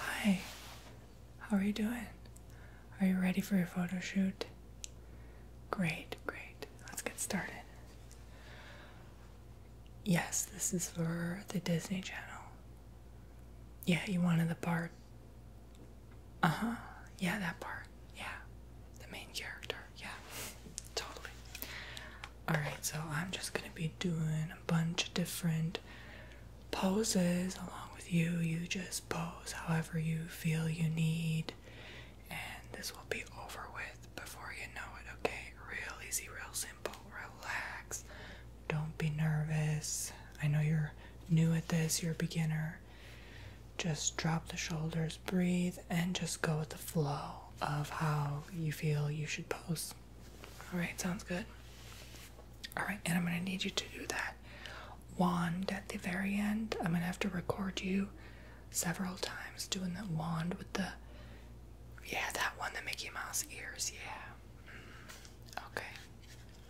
Hi, how are you doing? Are you ready for your photo shoot? Great, great. Let's get started. Yes, this is for the Disney Channel. Yeah, you wanted the part. Uh huh. Yeah, that part. Yeah. The main character. Yeah. Totally. Alright, so I'm just gonna be doing a bunch of different poses along with you. You just pose however you feel you need, and this will be over with before you know it, okay? Real easy, real simple. Relax. Don't be nervous. I know you're new at this, you're a beginner. Just drop the shoulders breathe, and just go with the flow of how you feel you should pose. All right, sounds good. All right, and I'm going to need you to do that wand at the very end. I'm going to have to record you several times doing that wand with the yeah, that one, the Mickey Mouse ears. Yeah. Mm, okay.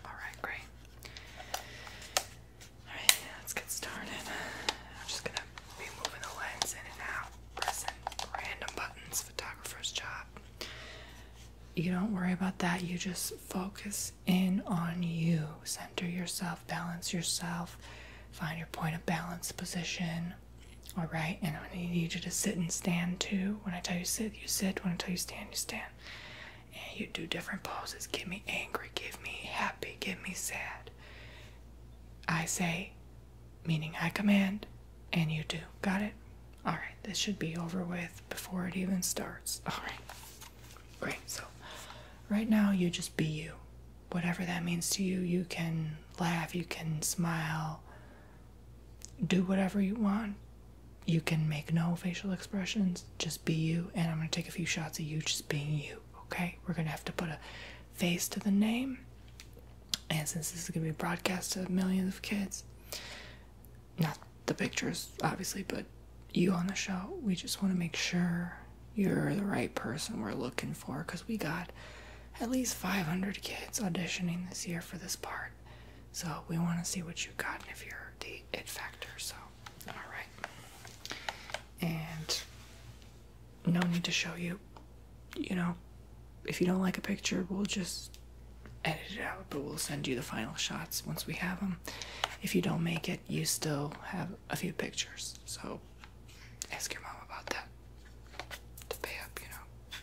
All right, great. All right, let's get started. I'm just gonna be moving the lens in and out, pressing random buttons, photographer's job. You don't worry about that. You just focus in on you. Center yourself, balance yourself, find your point of balance position. All right, and I need you to sit and stand too. When I tell you sit, you sit. When I tell you stand, you stand. And you do different poses. Give me angry, give me happy, give me sad. I say, meaning I command, and you do. Got it? Alright, this should be over with before it even starts. Alright. Great. So, right now, you just be you. Whatever that means to you, you can laugh, you can smile, do whatever you want. You can make no facial expressions, just be you. And I'm going to take a few shots of you just being you, okay? We're going to have to put a face to the name. And since this is going to be broadcast to millions of kids, not the pictures, obviously, but you on the show, we just want to make sure you're the right person we're looking for because we got at least 500 kids auditioning this year for this part. So we want to see what you got and if you're the it factor. So, all right. And no need to show you. You know, if you don't like a picture, we'll just edit it out, but we'll send you the final shots once we have them. If you don't make it, you still have a few pictures. So ask your mom about that to pay up, you know,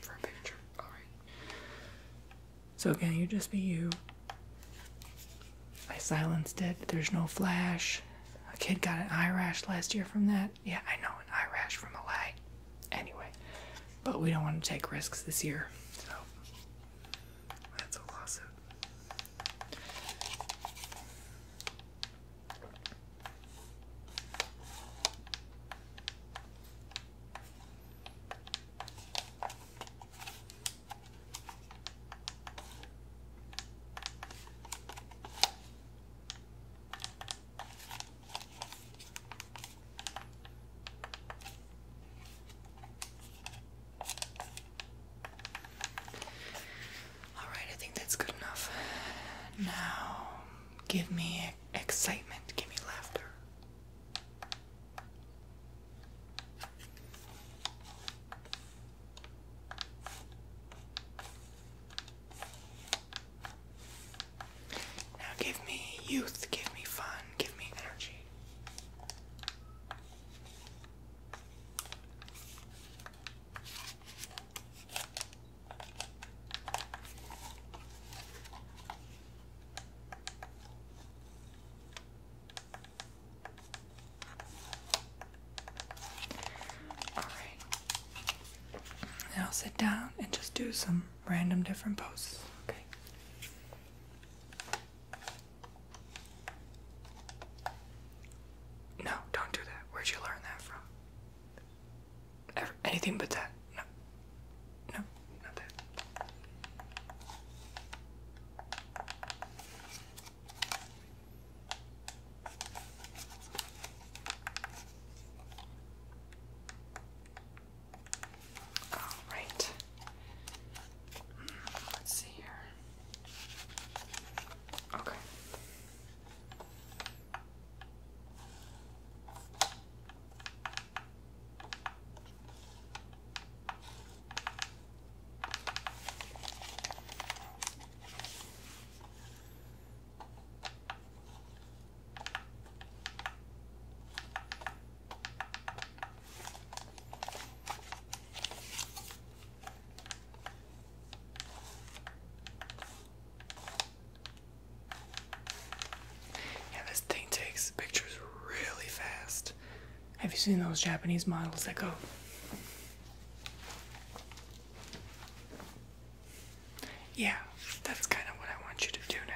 for a picture. All right. So, again, you just be you. I silenced it. There's no flash. A kid got an eye rash last year from that. Yeah, I know an eye rash from a lie. Anyway, but we don't want to take risks this year, so that's a lawsuit. All right, I think that's good enough. Now, give me excitement, give me laughter. Now give me youth, give me fun, give me energy. Alright. I'll sit down and just do some random different poses, okay? No, don't do that. Where'd you learn that from? anything but that. No. No, not that. All right. Hmm, let's see here. Okay. Yeah, this thing takes pictures really fast. Have you seen those Japanese models that go yeah, that's kind of what I want you to do now.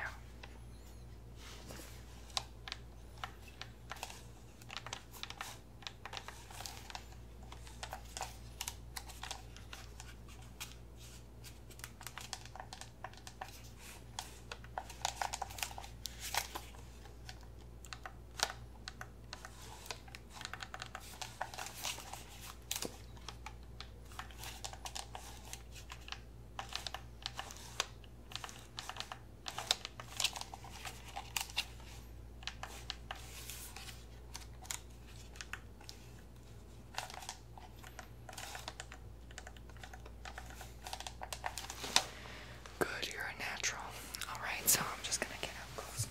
Good, you're a natural. Alright, so I'm just gonna get up close.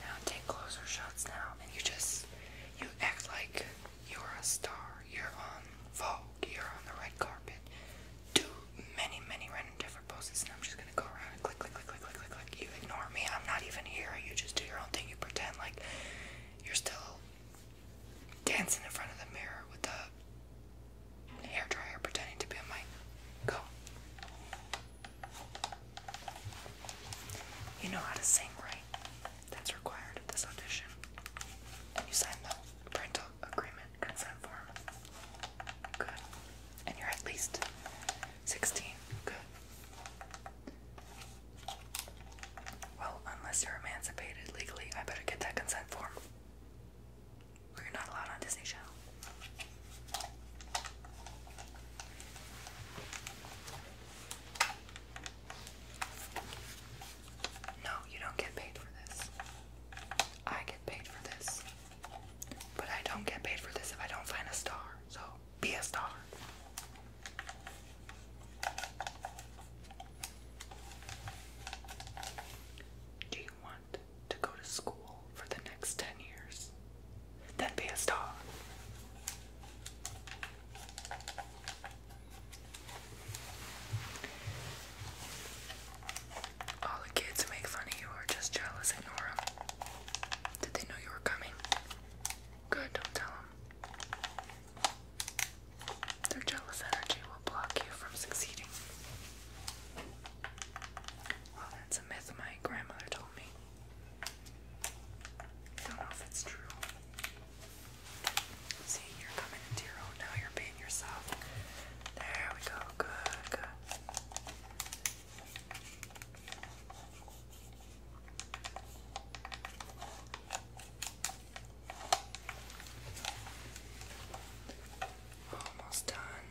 Now take closer shots now, and you just you act like you're a star. You're on Vogue. You're on the red carpet. Do many, many random different poses, and I'm just gonna go around and click, click, click, click, click, click, click. You ignore me. I'm not even here. You just do your own thing. You pretend like you're still dancing in front of the mirror with the hair dryer, pretending to be a mime. Go. You know how to sing, right? That's required at this audition. And you signed the parental agreement consent form. Good. And you're at least 16. Good. Well, unless you're emancipated legally, I better get that consent form. We're not allowed on Disney Channel. No, you don't get paid for this. I get paid for this. But I don't get paid for this if I don't find a star. So be a star. Do you want to go to school for the next 10 years, then be a star. All the kids who make fun of you are just jealous. Ignore them. Did they know you were coming? Good, don't tell them. Their jealous energy will block you from succeeding. that's a myth my grandmother told me. I don't know if it's true. See, you're coming into your own now, you're being yourself. There we go, good, good. Almost done.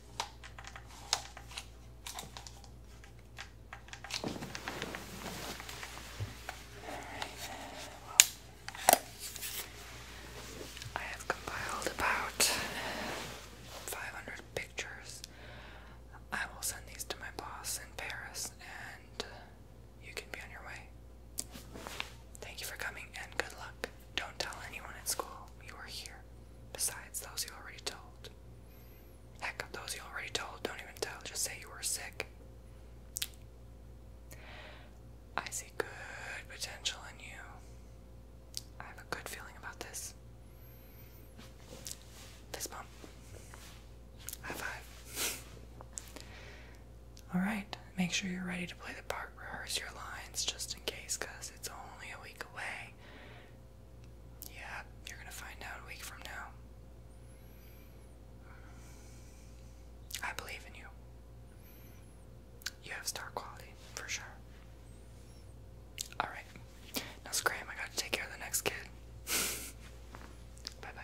I have compiled about 500 pictures. I will send these to my boss in Paris and you can be on your way. Thank you for coming and good luck. Don't tell anyone at school you are here, besides those you already told. Heck, of those you already told, don't even tell. Just say you were sick. I see good potential in you. I have a good feeling about this. Fist bump. High five. Alright, make sure you're ready to play the part. Rehearse your lines just in case, because it's only a week away. Yeah, you're gonna find out a week from now. I believe in you. You have star quality, for sure. Alright. Now, Scram, I gotta take care of the next kid. bye bye.